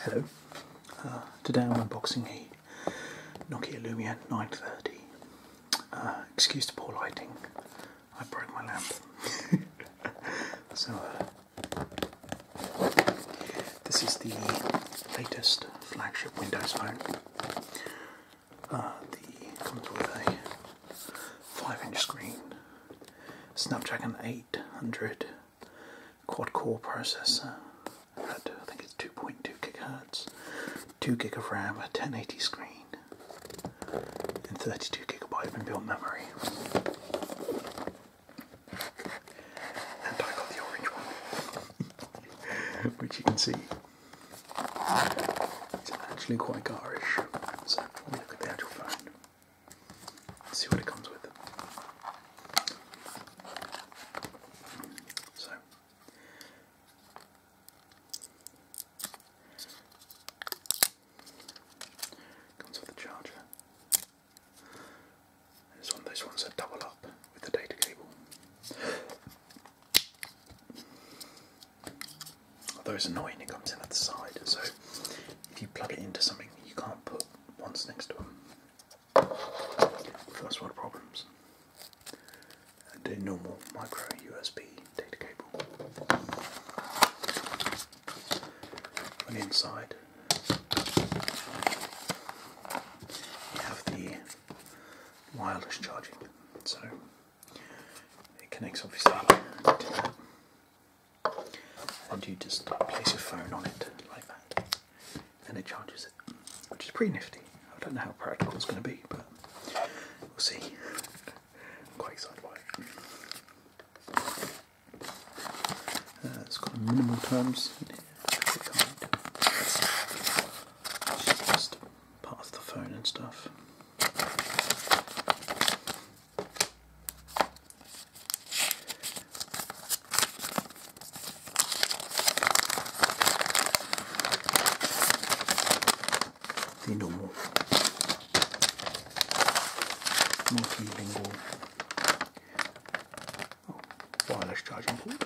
Hello. Ah, today I'm unboxing a Nokia Lumia 930. Ah, excuse the poor lighting. I broke my lamp. so, uh, this is the latest flagship Windows phone. Uh, the comes with a five-inch screen, Snapdragon 800 quad-core processor at I think it's 2.2 gigahertz, two gig of RAM, a 1080 screen, and 32 gigabyte inbuilt memory. And I got the orange one, which you can see it's actually quite garish. So let me look at the actual phone. see what it comes with. So comes with a charger. And one of ones that double up with the data cable. Although it's annoying, it comes in at the side, so if you plug it into something, you can't put ones next to them. of the problems. And a normal micro USB data cable. On the inside, you have the wireless charging. So it connects obviously to that. And you just place your phone on it like that. And it charges it. Which is pretty nifty. I don't know how practical it's going to be, but we'll see. quite excited it. has uh, got minimal terms that's just part of the phone and stuff. The normal multilingual wireless charging port.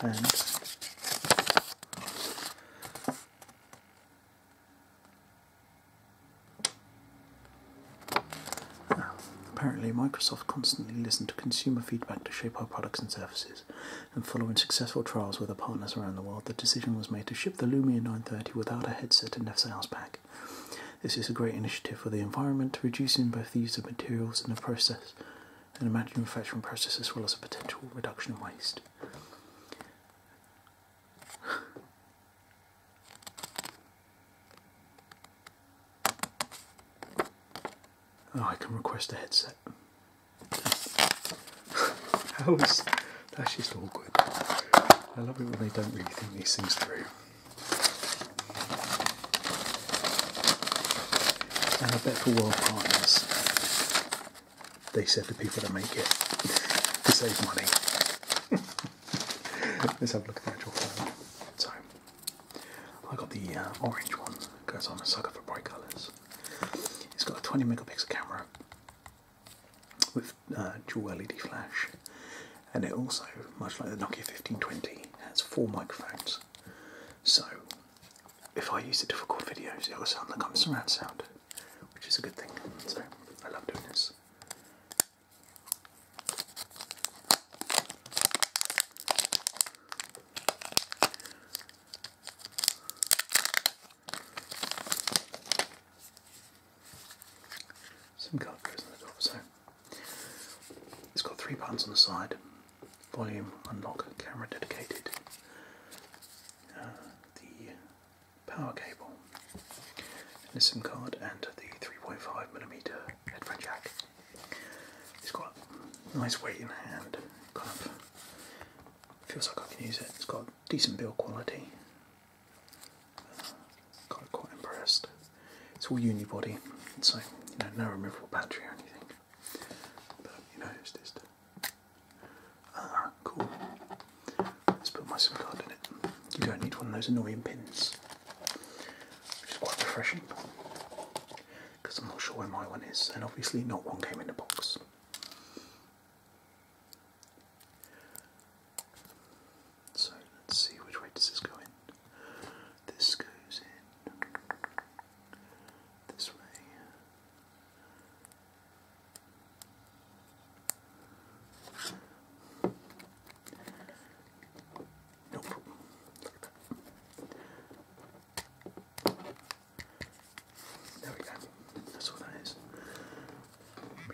And apparently Microsoft constantly listened to consumer feedback to shape our products and services and following successful trials with our partners around the world, the decision was made to ship the Lumia 930 without a headset and FSALS pack. This is a great initiative for the environment, reducing both the use of materials in the process and the manufacturing process as well as a potential reduction in waste. Oh, I can request a headset. How is that's just awkward. I love it when they don't really think these things through. And I bet for World Partners, they said the people to make it to save money. Let's have a look at the actual phone. So, I got the uh, orange one, because I'm a sucker for bright colours. It's got a 20 megapixel camera with uh, dual LED flash, and it also, much like the Nokia 1520, has four microphones. So, if I use it for record videos, it will sound like I'm surround sound, which is a good thing. So, I love doing this. SIM card goes in the top, so it's got three buttons on the side volume, unlock, camera dedicated, uh, the power cable, the SIM card, and the 35 millimeter headphone jack. It's got nice weight in hand, kind of feels like I can use it. It's got decent build quality. Uh, kind of quite impressed. It's all unibody, so no removable battery or anything. But you know, it's just uh, cool. Let's put my SIM card in it. You don't need one of those annoying pins, which is quite refreshing because I'm not sure where my one is, and obviously not one came in the box. So let's see which way this go in. This goes in this way. Nope. There we go. That's what that is.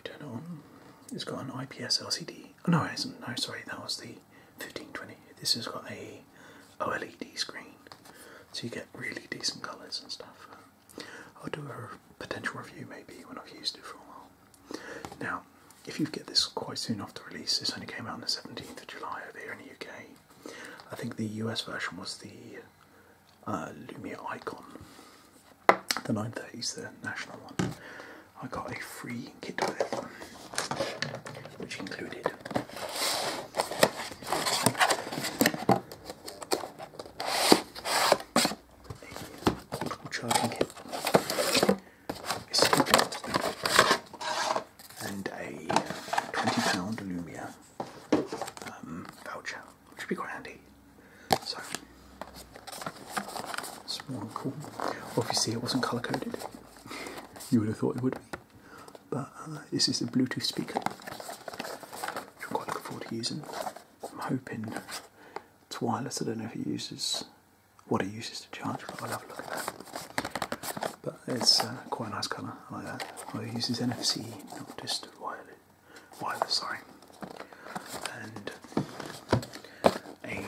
turn it on. It's got an IPS LCD. Oh, no, it not No, sorry, that was the 1520. This has got a OLED screen, so you get really decent colours and stuff. I'll do a potential review maybe when I've used it for a while. Now, if you get this quite soon after release, this only came out on the 17th of July over here in the UK. I think the US version was the uh, Lumia Icon, the is the national one. I got a free kit with it, which included a portable charging kit is secret and a £20 Lumia um, voucher, which would be quite handy. So, it's more cool. Obviously, it wasn't colour coded, you would have thought it would be, but uh, this is a Bluetooth speaker, which I'm quite looking forward to using. I'm hoping it's wireless, I don't know if it uses what it uses to charge, but I'll have a look at that. But it's uh, quite a nice colour, I like that. Well, it uses NFC, not just wireless, wireless sorry. And a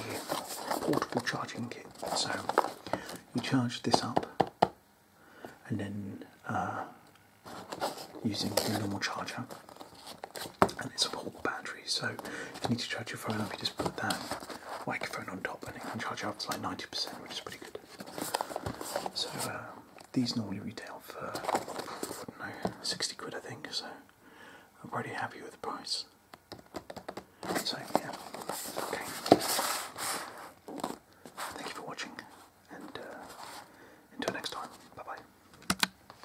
portable charging kit. So you charge this up and then uh, using your normal charger and it's a portable battery so if you need to charge your phone up you just put that microphone on top and it can charge up to like 90% which is pretty good so uh, these normally retail for I 60 quid I think so I'm pretty happy with the price so yeah okay thank you for watching and uh, until next time bye bye